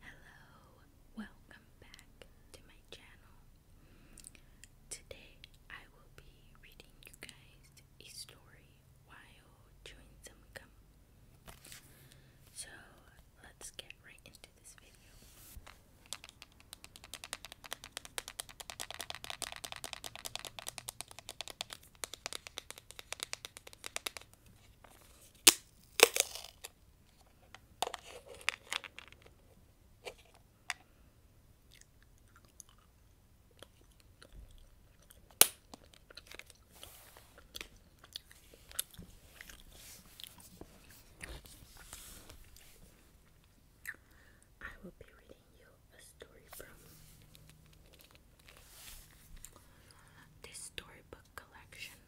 Hello, welcome back to my channel. Today I will be reading you guys a story while chewing some gum. So let's get right into this video. I will be reading reading a story from this storybook collection.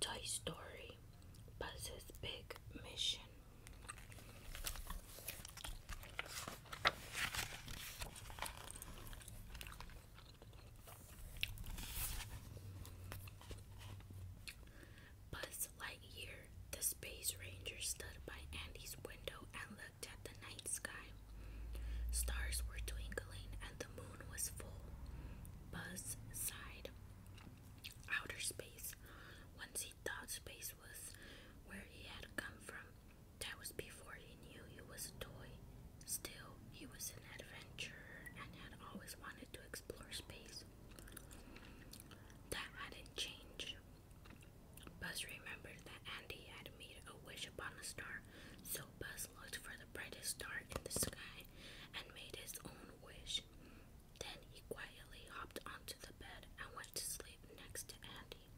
Toy Story Buzz's Big Mission Buzz Lightyear, the space Rangers stood by Andy's window and looked at the night sky. Stars were twinkling and the moon was full. Buzz sighed. Outer space. Once he thought space was where he had come from. That was before he knew he was a toy. Still, he was an adventurer and had always wanted to explore space. That hadn't changed. Buzz remembered that Andy had made a wish upon a star, so Buzz looked for the brightest star in the sky and made his own wish. Then he quietly hopped onto the bed and went to sleep next to Andy.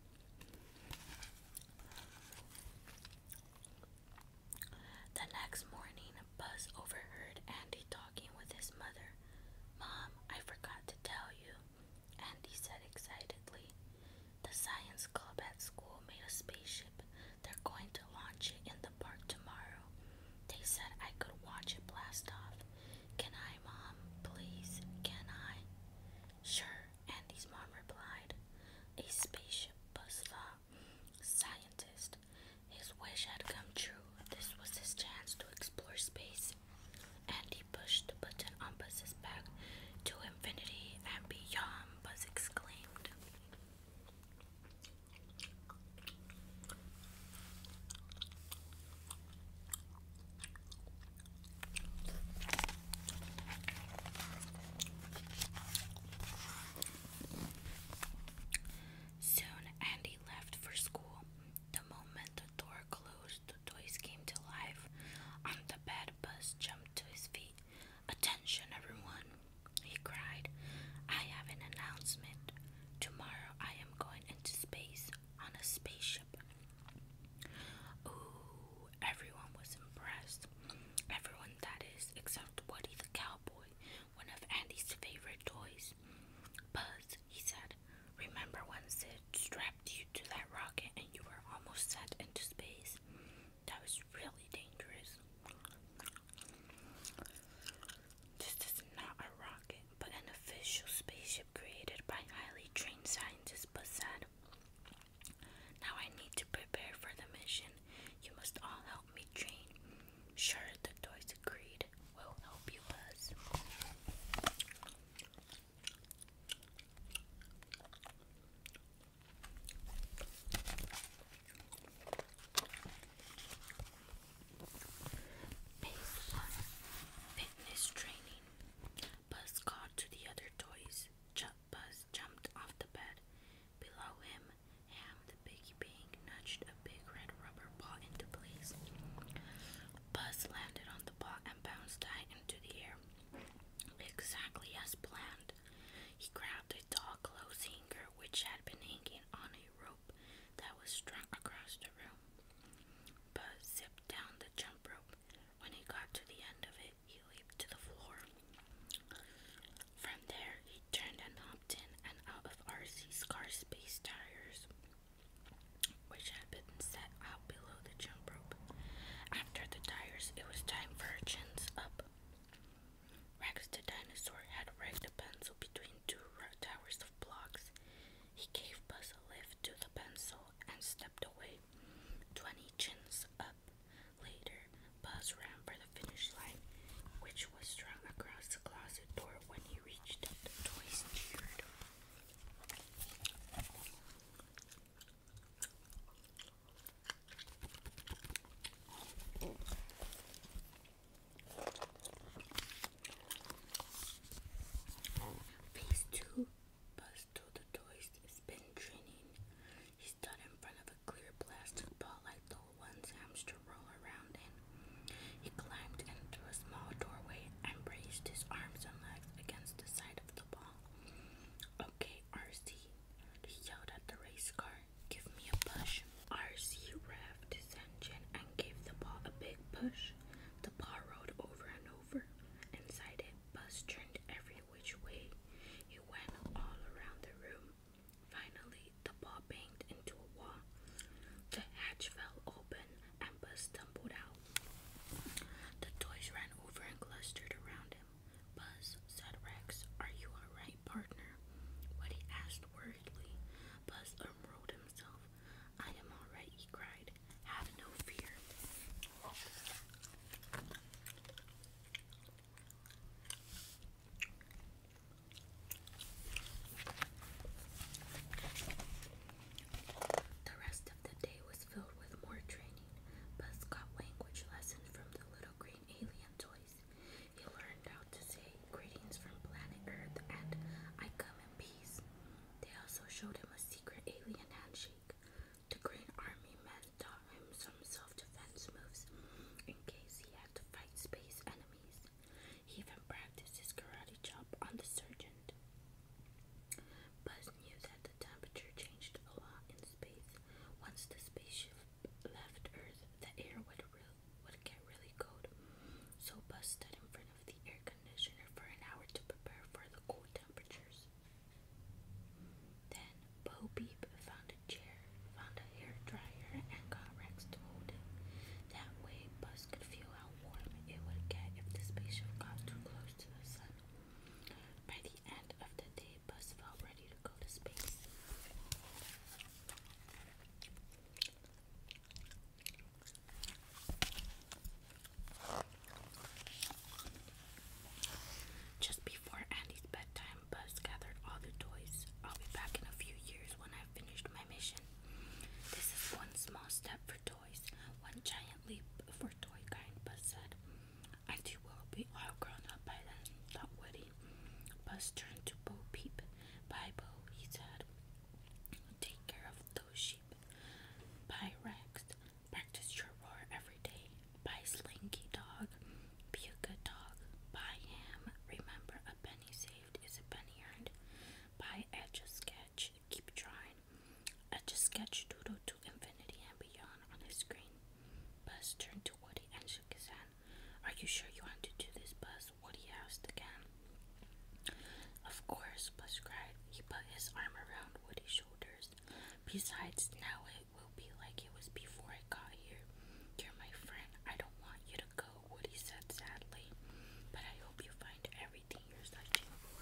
The next morning, Buzz overheard Andy talking with his mother. Mom, I forgot to tell you, Andy said excitedly. The science club at school made a spaceship. They're going to launch it in the park tomorrow. They said I could watch it blast off. Can I, Mom? Please, can I? Sure, Andy's mom replied. A spaceship buzzsaw scientist. His wish had come true. This was his chance to explore space. Andy pushed the button on Buzz's back to infinity and beyond, Buzz exclaimed. Soon Andy left for school. The moment the door closed, the toys came to life. On the bed, Buzz jumped to his feet. Attention, everyone, he cried. I have an announcement. Tomorrow I am going into space on a spaceship. Ooh, everyone was impressed. Everyone, that is, except Woody the cowboy, one of Andy's favorite toys. Buzz, he said, remember when Sid strapped you to that rocket and you were almost sent into space? That was really dangerous. This is not a rocket, but an official spaceship created by highly trained scientists Bassad. Now I need to prepare for the mission. You must all help me train. Sure, the toys agreed. We'll help you, Buzz. Buzz called to the other toys. Buzz jumped off the bed. Below him, Ham the Biggie Pig nudged a big red rubber ball into place. Buzz landed on the ball and bounced high into the air. Exactly as planned. He grabbed a tall clothes hanger which had been hanging on a rope that was strung across the room. Buzz zipped down the jump rope. When he got to the end of it, he leaped to the floor. From there, he turned and hopped in and out of RC's car space tires, which had been set out below the jump rope. After the tires, it was time for her chins up. Rex the dinosaur had rigged a pencil between two towers blocks. He gave Buzz a lift to the pencil and stepped away. Twenty chins up later, Buzz ran for the finish line, which was strung across the closet door. When he reached it, the toys cheered. Phase 2 Buzz the toys spin training. He stood in front of a clear plastic ball like the ones hamster roll around in. He climbed into a small doorway and braced his arms and legs against the side of the ball. Okay, RC, he yelled at the race car, give me a push. RC rev to Senjin and gave the ball a big push. The ball rolled over and over. Inside it, Buzz turned every which way. He went all around the room. Finally, the ball banged into a wall. The hatch fell open and Buzz stumbled out. The toys ran over and clustered around him. Buzz, said Rex, are you alright, partner? What asked worriedly. Buzz unrolled I am alright, he cried. Have no fear. The rest of the day was filled with more training. Buzz got language lessons from the little green alien toys. He learned how to say greetings from planet Earth and I come in peace. They also showed him a secret alien handshake. The Green Army men taught him some self-defense moves in case he had to fight space enemies. He even practiced his karate chop on the sergeant. Buzz knew that the temperature changed a lot in space. Once the spaceship left Earth, the air would would get really cold, so Buzz stood in front of the air conditioner for an hour to prepare for the cool temperatures. Then Bo Beep found a chair, found a hair dryer, and got Rex to hold it. That way, Buzz could feel how warm it would get if the spaceship got too close to the sun. By the end of the day, Buzz felt ready to go to space. Just before Andy's bedtime, Buzz gathered all the toys. I'll be back in a few years when I've finished my mission. This is one small step for toys, one giant leap for toy kind, Buzz said. I too will be all grown up by then, thought Woody. Buzz turned to Bo Peep. Bye, Bo, he said. Take care of those sheep. Bye, Rex. Practice your roar every day. Bye, Slinky Dog. Be a good dog. Bye, Ham. Remember, a penny saved is a penny earned. Bye, Edge a Sketch. Keep trying. Edge a Sketch doodle to infinity and beyond on his screen. Buzz turned to Woody and shook his head. Are you sure you want to do this, Buzz? Woody asked again. Of course, Buzz cried. He put his arm around Woody's shoulders. Besides, now it will be like it was before I got here. You're my friend. I don't want you to go, Woody said sadly. But I hope you find everything you're searching for.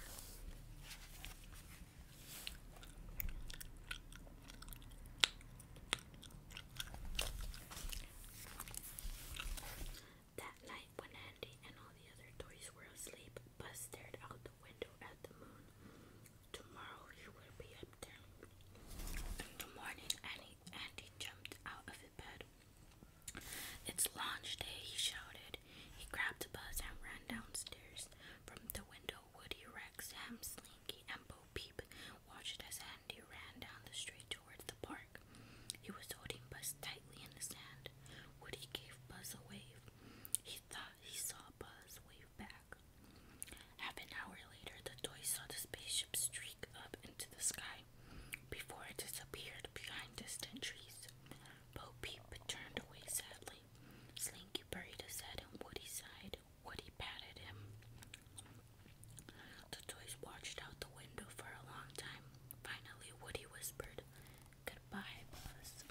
That night, when Andy and all the other toys were asleep, Buzz stared out the window at the moon. Tomorrow he will be up there. In the morning, Andy, Andy jumped out of his bed. It's launch day, he shouted. He grabbed Buzz and ran downstairs. From the window, Woody, Rex, Ham, Slinky, and Bo Peep watched as Andy ran down the street towards the park. He was holding Buzz tightly in his hand. Woody gave Buzz a wave. He thought he saw Buzz wave back. Half an hour later, the toy saw the spaceship streak up into the sky before it disappeared behind distant trees. Bo Peep turned away sadly. buried his head in Woody's side. Woody patted him. The toys watched out the window for a long time. Finally, Woody whispered, Goodbye, Buzz.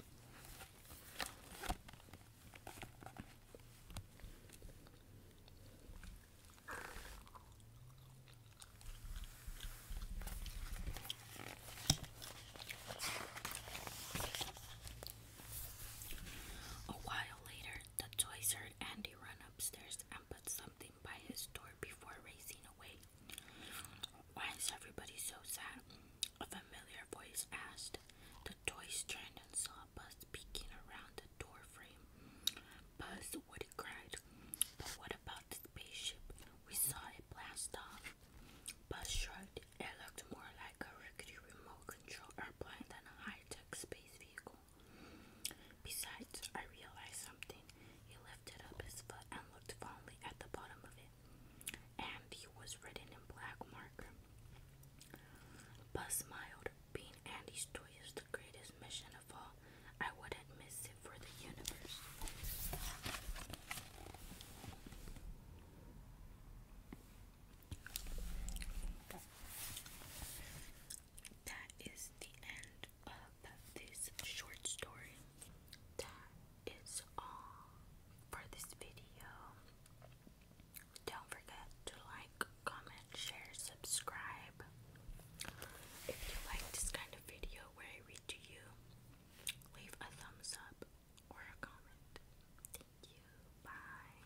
A while later, the toys heard Andy run upstairs and put something by his door before racing away. Why is everybody so sad? A familiar voice asked. The toys turned and saw Buzz peeking around the door Buzz, Woody cried. But what about the spaceship? We saw it blast off. Buzz shrugged. It looked more like a rickety remote control airplane than a high tech space vehicle. Besides, I realized something. He lifted up his foot and looked fondly at the bottom of it, and he was written in black marker. Buzz smiled. Being Andy's toy is the greatest mission of all. I wouldn't miss it for the universe that is the end of this short story. That is all for this video. Don't forget to like, comment, share, subscribe. If you like this kind of video where I read to you, leave a thumbs up or a comment. Thank you. Bye.